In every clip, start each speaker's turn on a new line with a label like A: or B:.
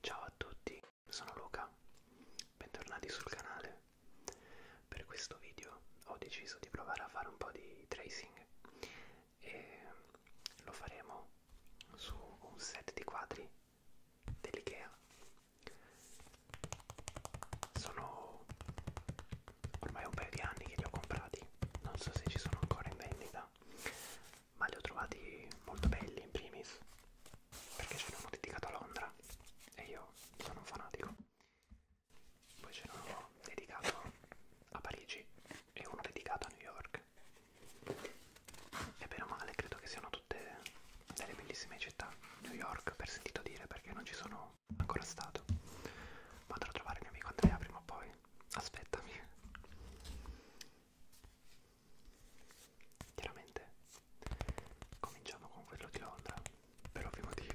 A: Ciao a tutti, sono Luca, bentornati sul canale. Per questo video ho deciso di provare a fare un po' di tracing e lo faremo su un set di quadri dell'IKEA. Sono ormai un paio di anni che li ho comprati, non so se ci sono ancora in vendita, ma li ho trovati molto belli in primis perché c'era uno dedicato a Londra e io sono un fanatico poi c'era uno dedicato a Parigi e uno dedicato a New York e bene o male credo che siano tutte delle bellissime città New York per sentito dire perché non ci sono ancora stato ma andrò a trovare il mio amico Andrea prima o poi aspettami Chiaramente cominciamo con quello di Londra, per ovvi motivi.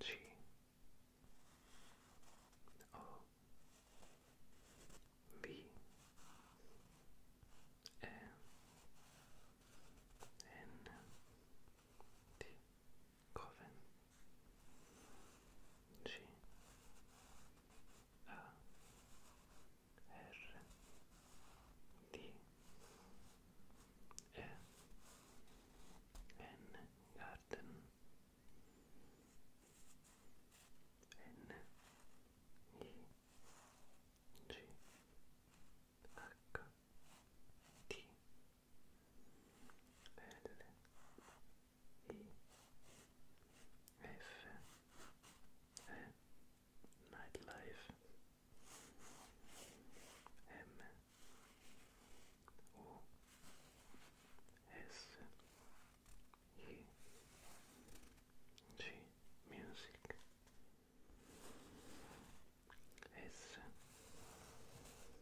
A: G O B A N T Coven G A R D E N garden N I G H T L Nightlife M O S E G Music S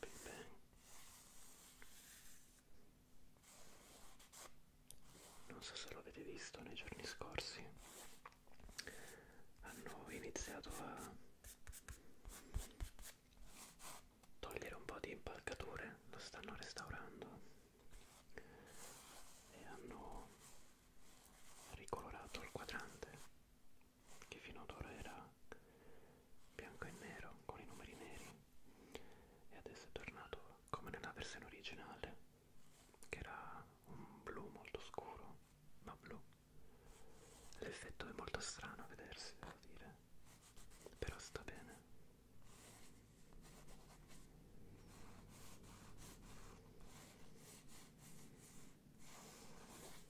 A: Big Bang. Non so se lo avete visto nei giorni scorsi, hanno iniziato a togliere un po' di impalcature, lo stanno restaurando e hanno ricolorato il quadrante che fino ad ora era bianco e nero con i numeri neri e adesso è tornato come nella versione originale che era un blu molto scuro ma blu l'effetto è molto strano a vedersi devo dire però sta bene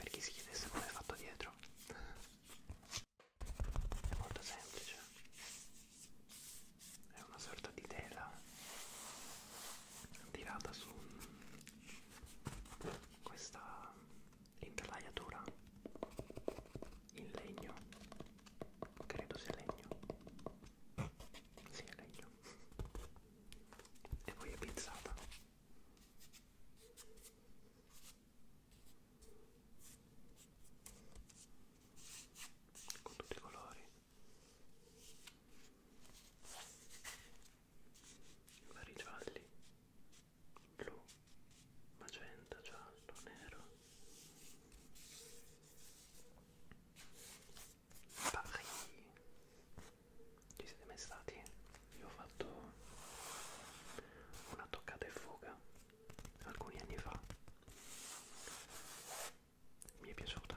A: Per chi si chiedesse come è fatto dietro, è molto semplice, è una sorta di tela tirata su questa interlaiatura in legno credo sia legno sì è legno e poi è pizzata con tutti i colori vari gialli blu magenta giallo nero Paris ci siete mai stati? io ho fatto una toccata e fuga alcuni anni fa mi è piaciuta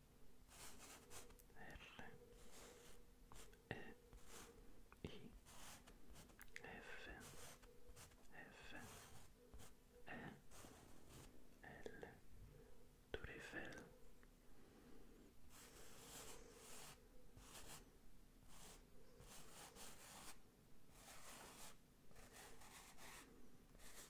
A: L Tour Eiffel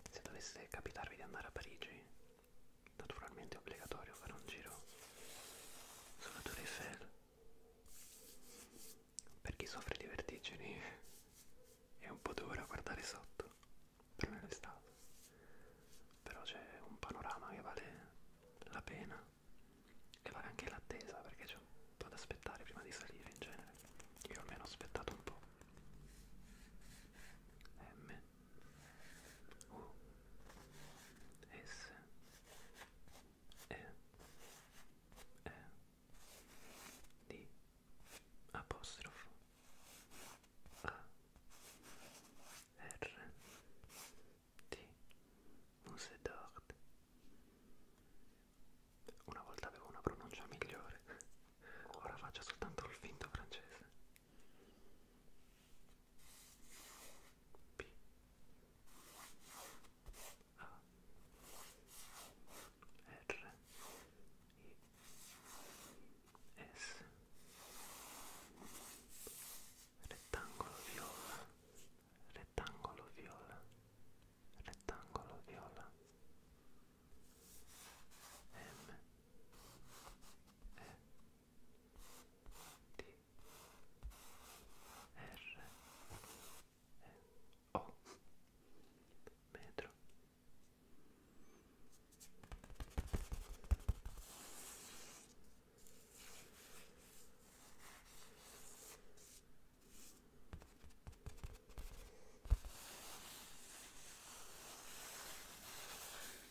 A: Se dovesse capitarvi di andare a Parigi naturalmente è obbligatorio fare un giro sulla Tour Eiffel per chi soffre di vertigini è un po' dura guardare sotto per me l'estate però c'è un panorama che vale la pena e vale anche l'attesa perché c'è un po' da aspettare prima di salire in genere io almeno ho aspettato un po' M U S E E D apostrofo A R T Muse d'Ord una volta avevo una pronuncia migliore ora faccio soltanto il finto francese P A R I S rettangolo viola rettangolo viola rettangolo viola M E D R E O metro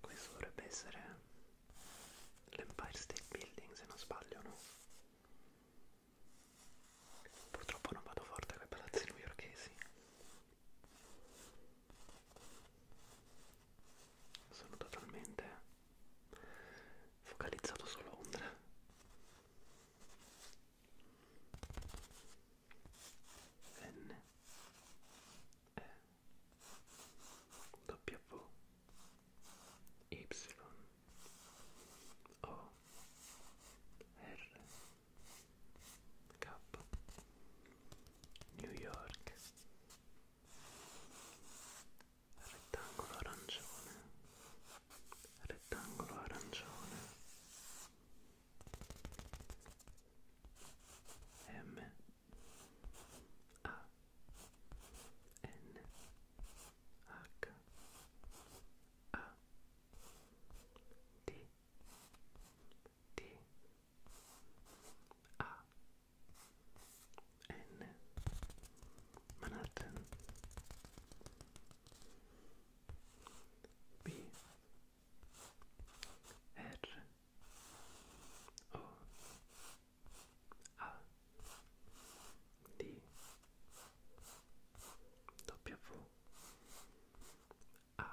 A: Questo dovrebbe essere l'Empire State Building se non sbaglio, no? Purtroppo non vado forte con i palazzi newyorkesi. Sono totalmente focalizzato su Londra. N E W Y O R K New York rettangolo arancione rettangolo arancione M A N H A D D A N Manhattan B R O A D W A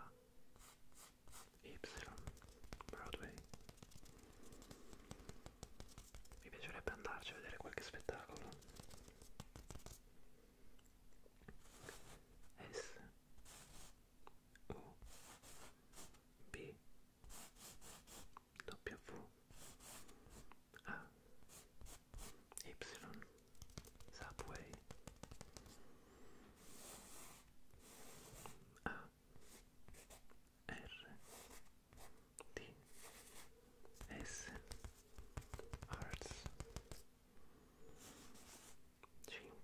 A: Y Broadway mi piacerebbe andarci a vedere qualche spettacolo S U B W A Y Subway A R D S E N U E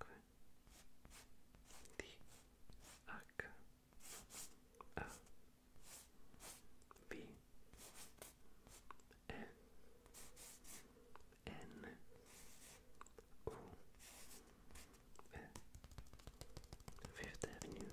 A: Fifth Avenue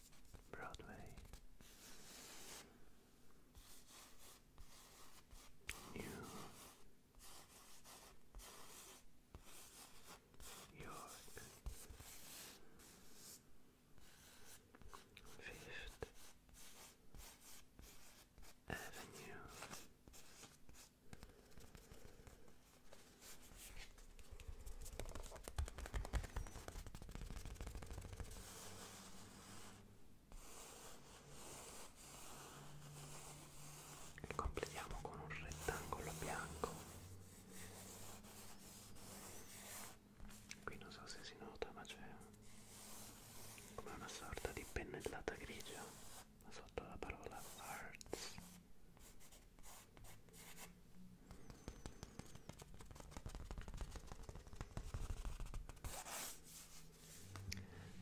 A: Broadway, New York, Fifth Avenue. e completiamo con un rettangolo bianco qui non so se si nota ma c'è come una sorta di pennellata grigia sotto la parola arts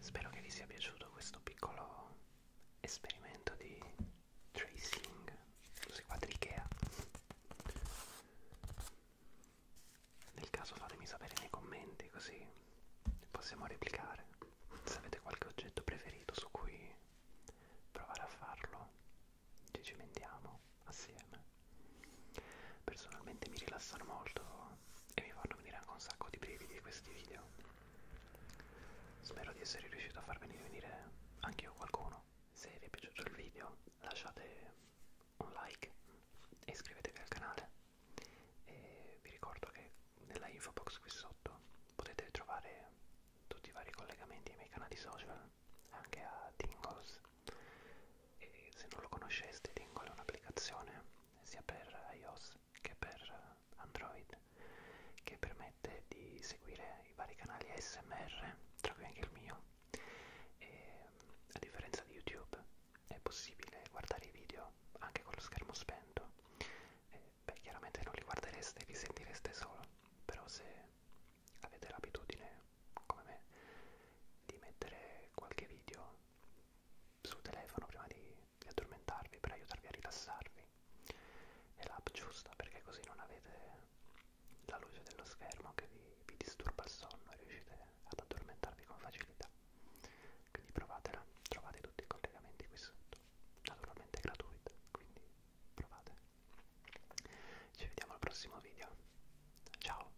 A: Spero che vi sia piaciuto questo piccolo esperimento di tracing sui quadri Ikea. Nel caso fatemi sapere nei commenti così possiamo replicare se avete qualche oggetto preferito su cui provare a farlo ci cimentiamo assieme. Personalmente mi rilassano molto e mi fanno venire anche un sacco di brividi questi video. Spero di essere riuscito a far venire, venire anche io qualcuno. Se vi è piaciuto il video lasciate un like e iscrivetevi al canale. E vi ricordo che nella info box qui sotto potete trovare tutti i vari collegamenti ai miei canali social anche a Tingles e se non lo conosceste Tingle è un'applicazione sia per iOS che per Android che permette di seguire i vari canali ASMR tra cui anche il mio e a differenza di YouTube è possibile guardare i video anche con lo schermo spento e, beh chiaramente non li guardereste li sentireste solo però se avete l'abitudine, come me, di mettere qualche video sul telefono prima di, di addormentarvi per aiutarvi a rilassarvi. È l'app giusta perché così non avete la luce dello schermo che vi, vi disturba il sonno e riuscite ad addormentarvi con facilità. Quindi provatela, trovate tutti i collegamenti qui sotto. Naturalmente è gratuita, quindi provate. Ci vediamo al prossimo video. Ciao!